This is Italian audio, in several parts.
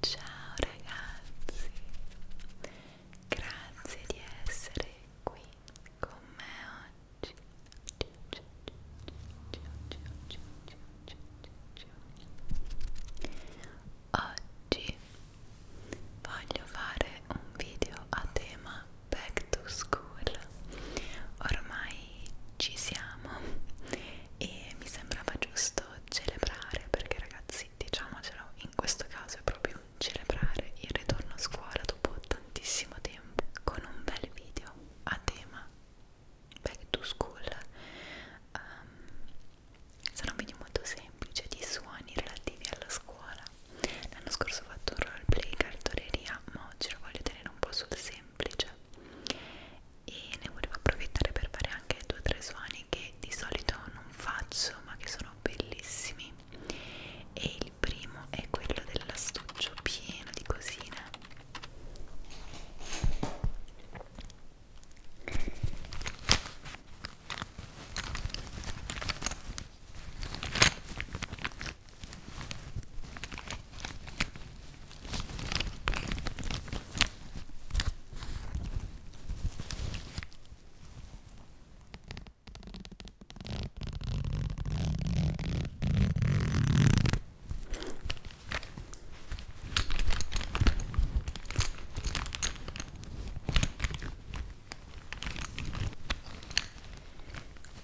Ciao ragazzi, grazie di essere qui con me oggi. Ciao, ciao, ciao, ciao, ciao, ciao, ciao. Oggi voglio fare un video a tema back to school. Ormai ci siamo e mi sembrava giusto celebrare perché ragazzi diciamocelo in questo caso è proprio celebrare il ritorno a scuola dopo tantissimo tempo con un bel video a tema back to school um, sono un video molto semplice di suoni relativi alla scuola l'anno scorso ho fatto un roleplay cartoleria ma oggi lo voglio tenere un po' sul semplice semplice e ne volevo approfittare per fare anche due o tre suoni che di solito non faccio ma che sono bellissimi e il primo è quello dell'astuccio pieno di cosine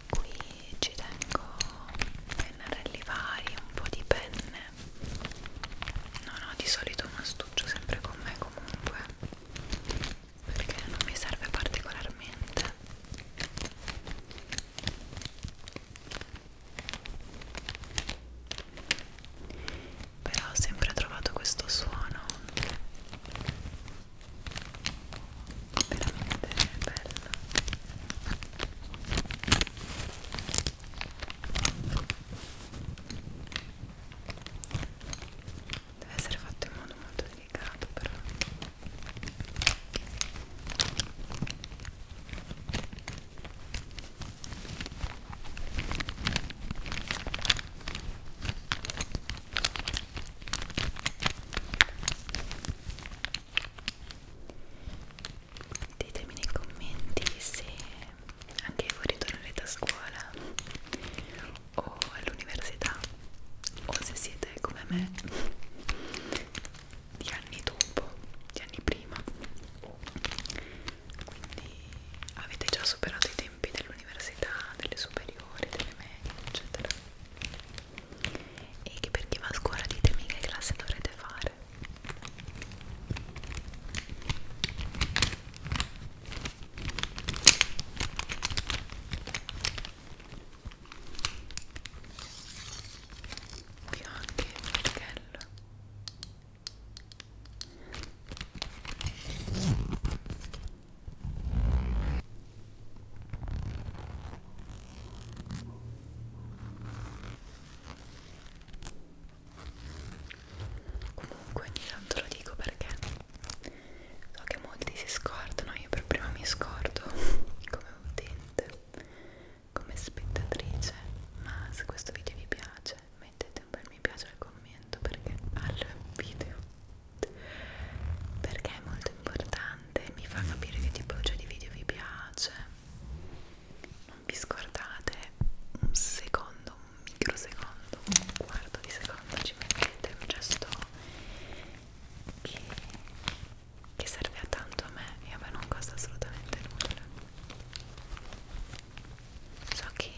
Qui ci tengo pennarelli vari, un po' di penne no no di solito un astuccio sempre con me comunque perché non mi serve particolarmente però ho sempre trovato questo suono veramente bello Deve essere fatto in modo molto delicato però ditemi nei commenti se anche voi ritornerete a scuola o all'università o se siete come me di anni dopo, di anni prima quindi avete già superato i tempi dell'università, delle superiori, delle medie eccetera e che per chi va a scuola ditemi che classe dovrete fare vi ho anche il martello comunque ogni tanto lo dico perché so che molti si scordano io per prima mi scordo come utente come spettatrice ma se questo video vi piace mettete un bel mi piace al commento perché al video perché è molto importante mi fa capire che tipologia cioè, di video vi piace non vi scordate un secondo, un microsecondo, un quarto di secondo ci mettete un gesto che, che serve a tanto a me e a me non costa assolutamente nulla so che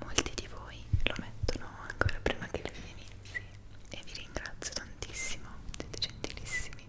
molti di voi lo mettono ancora prima che il video inizi e vi ringrazio tantissimo siete gentilissimi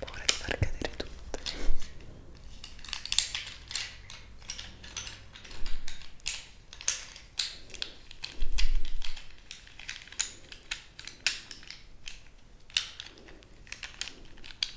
paura di far cadere tutto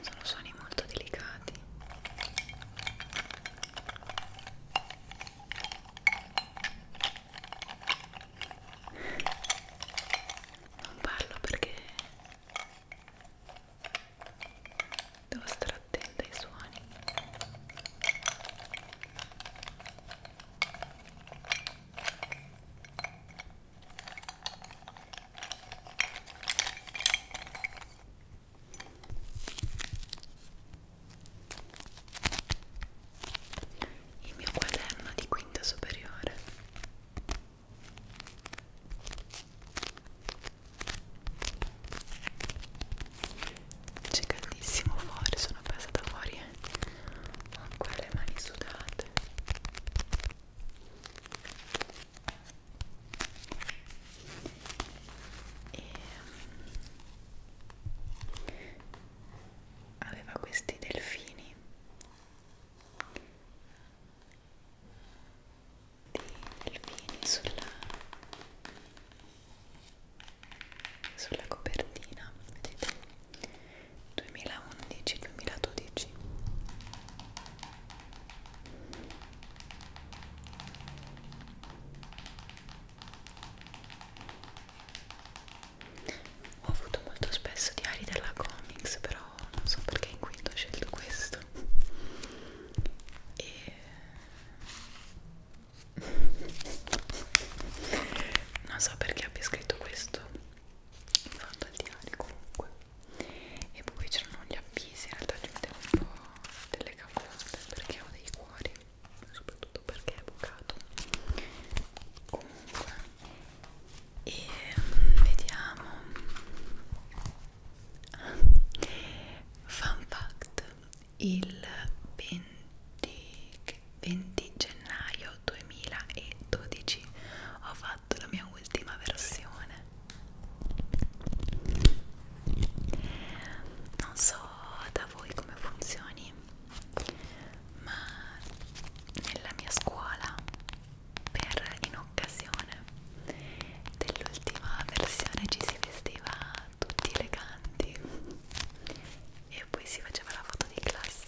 Sono suoni molto delicati. Non parlo perché devo stare attenta ai suoni il mio quaderno di quinta superiore c'è caldissimo fuori, sono passata fuori e ho ancora le mani sudate. E aveva questi delfini di delfini sulla, sulla copertina vedete 2011-2012 ho avuto molto spesso diari della comics però non so perché in quinto ho scelto questo e non so perché abbia scritto questo in fondo al diario comunque e poi c'erano gli avvisi in realtà ci mettevo un po' delle cavolate perché ho dei cuori soprattutto perché è bucato comunque e vediamo Fun fact, il 20, 20 gennaio 2012 ho fatto la mia ultima versione. Non so da voi come funzioni, ma nella mia scuola per in occasione dell'ultima versione ci si vestiva tutti eleganti e poi si faceva la foto di classe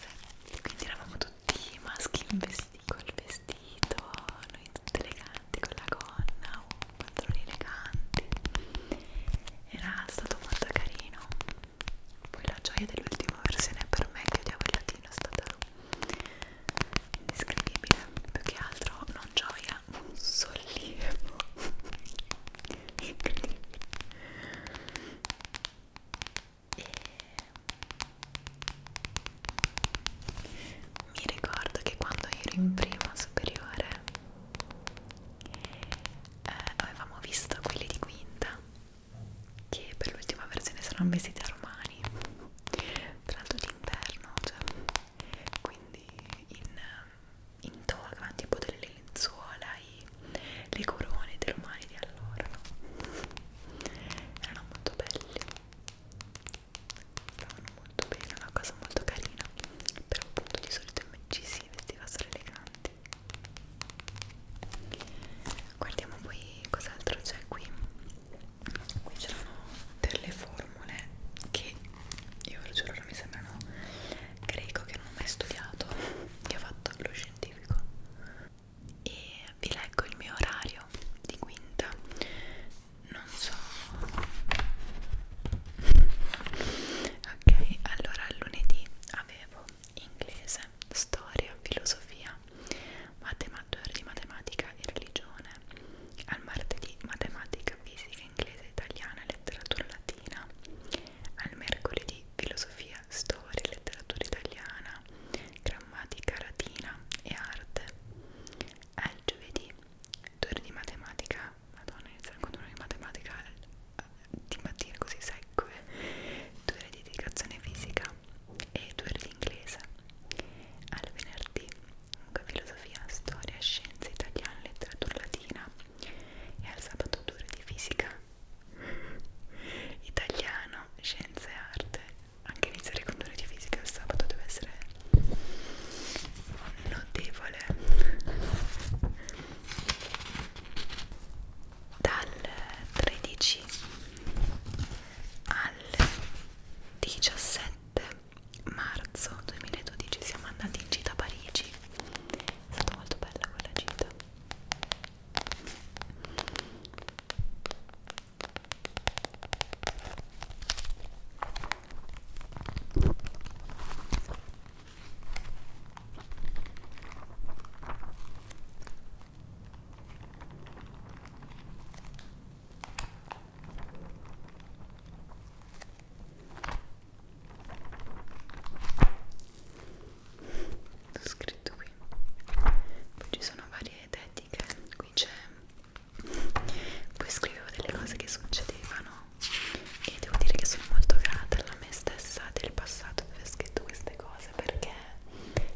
quindi eravamo tutti maschi in vestito col vestito noi tutti eleganti con la gonna o pantaloni eleganti era stato molto carino poi la gioia dell'ultima versione per me che odiavo il latino è stata indescrivibile più che altro non gioia un sollievo incredibile e mi ricordo che quando ero in prima superiore eh, avevamo visto quelli di quinta che per l'ultima versione saranno vestiti a romani tra l'altro l'inverno, cioè, quindi in, ehm, in toga, tipo delle lenzuola, i, le corone dei romani di allora, erano molto belli, stavano molto bene, una cosa molto carina, però appunto di solito ci si vestiva solo eleganti. Guardiamo poi cos'altro c'è qui qui c'erano delle formule che io ve lo giuro mi sembrano greco che non ho mai studiato che ho fatto lo scientifico e vi leggo il mio orario di quinta non so ok allora lunedì avevo inglese storia filosofia matematica, di matematica e religione, al martedì matematica, fisica, inglese, italiana e letteratura latina, al mercoledì filosofia, storia, letteratura italiana, grammatica latina e arte, al giovedì torri di matematica, madonna inizia con torri di matematica eh, di mattina così secco, eh. due ore di dedicazione fisica e due ore di inglese al venerdì comunque filosofia, storia, scienze, italiano, letteratura latina e al sabato due ore di fisica italiano, scienze e arte anche iniziare con due ore di fisica il sabato deve essere notevole dal 13 al 17 marzo 2012 siamo andati in gita a Parigi è stata molto bella quella gita ho scritto qui poi ci sono varie tecniche qui c'è poi scrivevo delle cose che succedevano e devo dire che sono molto grata alla me stessa del passato dove ho scritto queste cose perché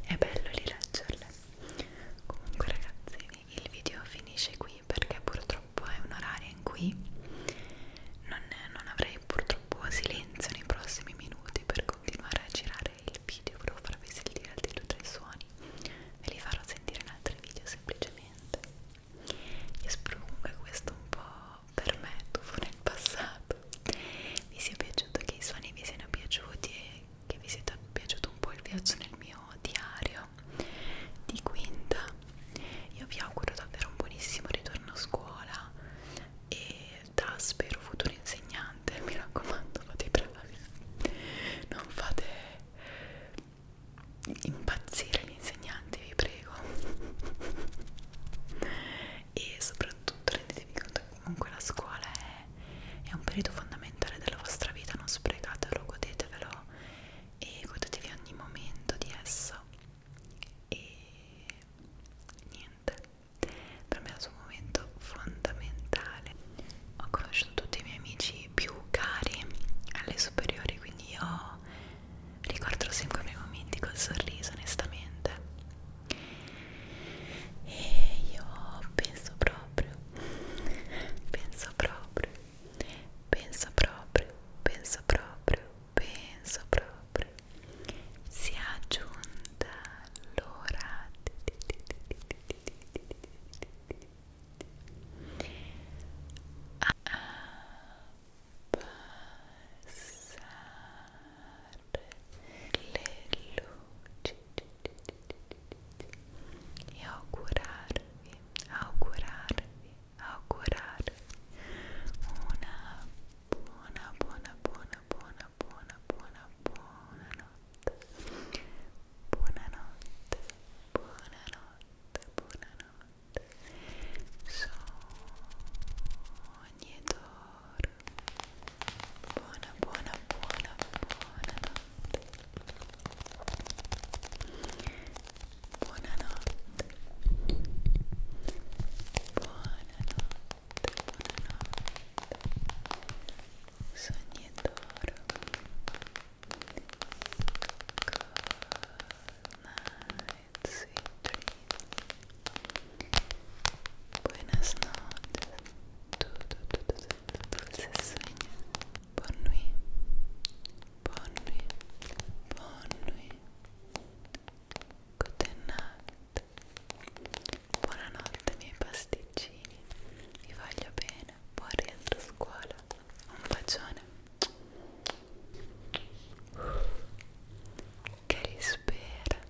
è bello rileggerle comunque ragazzi il video finisce qui perché purtroppo è un orario in cui non, non avrei purtroppo silenzio nei prossimi minuti per continuare a girare il video volevo farvi sentire altri due o tre suoni ve li farò sentire in altri video semplicemente io spero comunque questo un po' per me tuffo nel passato vi sia piaciuto che i suoni vi siano piaciuti e che vi sia piaciuto un po' il viaggio nel mio diario di quinta io vi auguro davvero un buonissimo ritorno a scuola e da spero futuro insegnante mi raccomando fate i bravi non fate impazzire gli insegnanti vi prego e soprattutto rendetevi conto comunque la scuola è, è un periodo fondamentale della vostra vita, non sprecatelo, godetevelo e godetevi ogni momento di esso e niente, per me è stato un momento fondamentale ho conosciuto tutti i miei amici più cari alle superiori quindi io ricordo sempre i miei momenti col sorriso onestamente e io penso proprio penso proprio, penso proprio, penso proprio, penso proprio. Si è aggiunta l'ora passare le luci e augurarvi, augurarvi, augurarvi una buona, buona, buona, buona, buona, buona, buona notte. Buonanotte, buonanotte, buonanotte. Sogni buona buona buona buonanotte buonanotte buonanotte buonanotte sogni d'oro Night, sweet dreams. Buenas noches. dulce sueño. Bonne nuit. Bonne nuit. Bonne nuit. Good night. Buonanotte miei pasticcini. Vi voglio bene. Buon rientro a scuola. Un bacione. Che rispera.